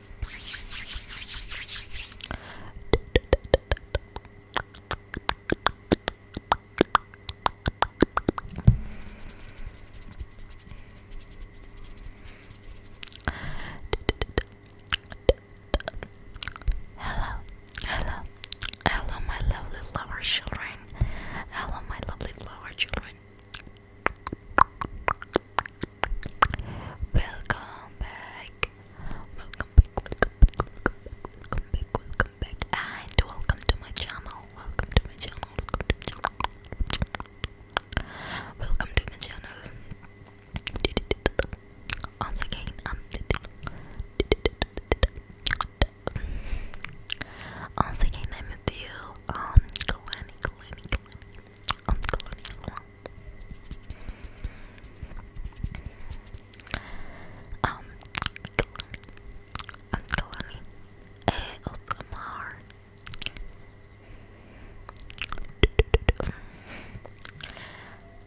Hello, hello, hello, my lovely flower children. Hello, my lovely flower children. Welcome back. Welcome back. Welcome back. Welcome back. Welcome back. And welcome to my channel. Welcome to my channel. Welcome to my channel. Once again, i once again, I'm with you um, Kalani, Kalani, Kalani, on the colonies one. Um, colony, on um, colony,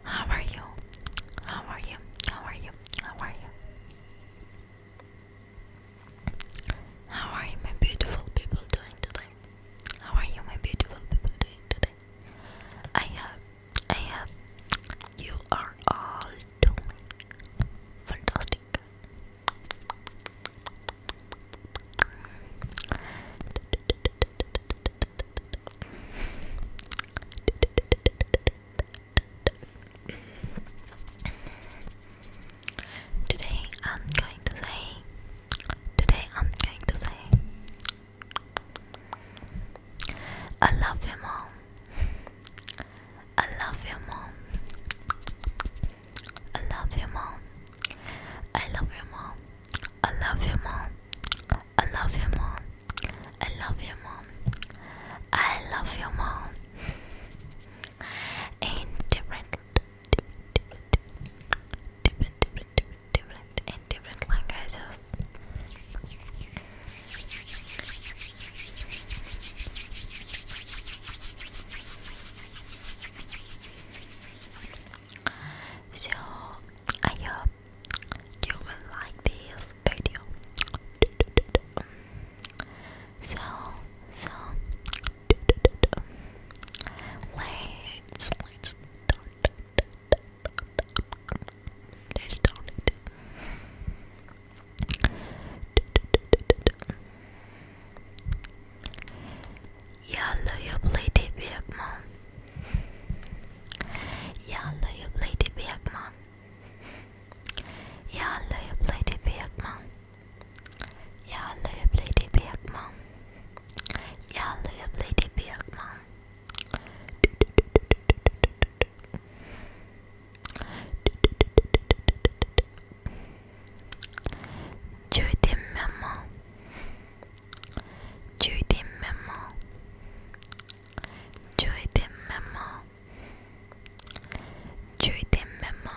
How are you? How are you? How are you? How are you? How are you, my beautiful people, doing today? How are you, my beautiful people, doing today? I have, I have, you are all doing fantastic. Today I'm going to say, today I'm going to say, I love you, mom. I love you, mom. I love you, mom. I love you, mom. I love you, mom. I love you, mom. I love you, mom. I love you, mom. Indifferent different, different, different, different, and different languages. So I hope you will like this video. So so Let's let's start. Let's start it. Yalla jag blir till Björkman. Jalla jag blir till Yağlayıp lady yakmam. Yağlayıp lady yakmam. Judim memo. Judim memo. Judim memo. Judim memo.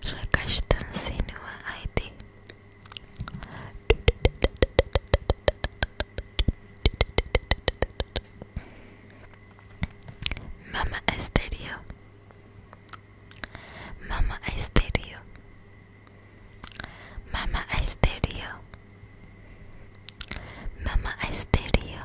Rakashtan Sinua ID. Mama Estéreo. Mama Estéreo. Mama Estéreo. Mama Estéreo.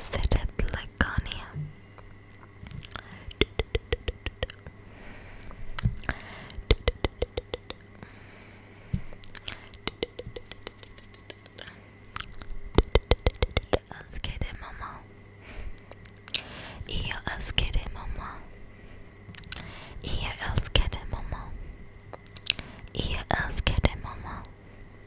sit at Laconia. Io älskar dig mamma. Io älskar dig mamma. Io älskar dig mamma. Io älskar dig mamma.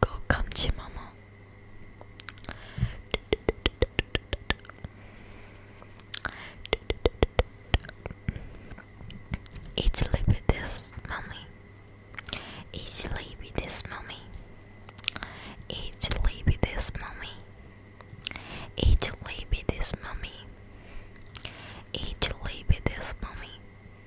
Go come to mama. Eat sleepy mommy. Eat sleepy this mommy. Eat sleepy this mommy. Eat sleepy this mommy. Eat sleepy this mommy.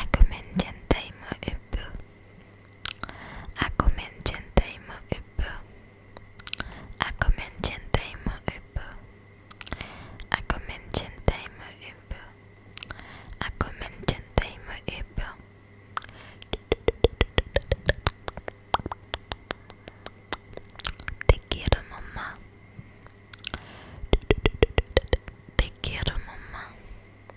Akumen Gentai mo upu. Akumen Gentai mo upu. Akumen Gentai mo upu. Akumen Gentai mo upu. Akumen Gentai mo upu. Te quiero mamá. Te quiero mamá. Te quiero mamá.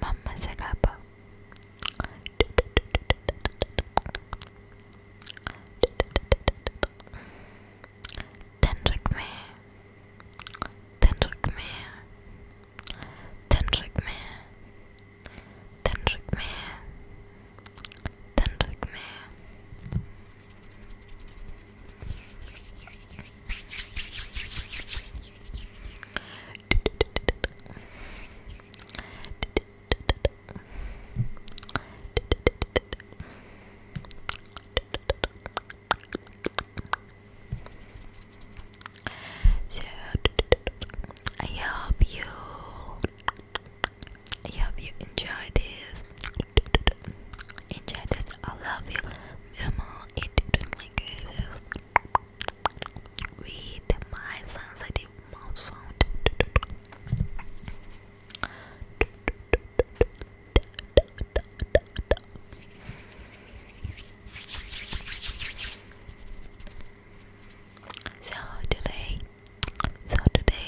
Mama Zagapa. Tendrick me. Tendrick me. Tendrick me. Tendrick me. Tendrick me. I hope you I hope you enjoy this enjoy this I love you mama it like this with my sensitive mouth sound. So today, so today,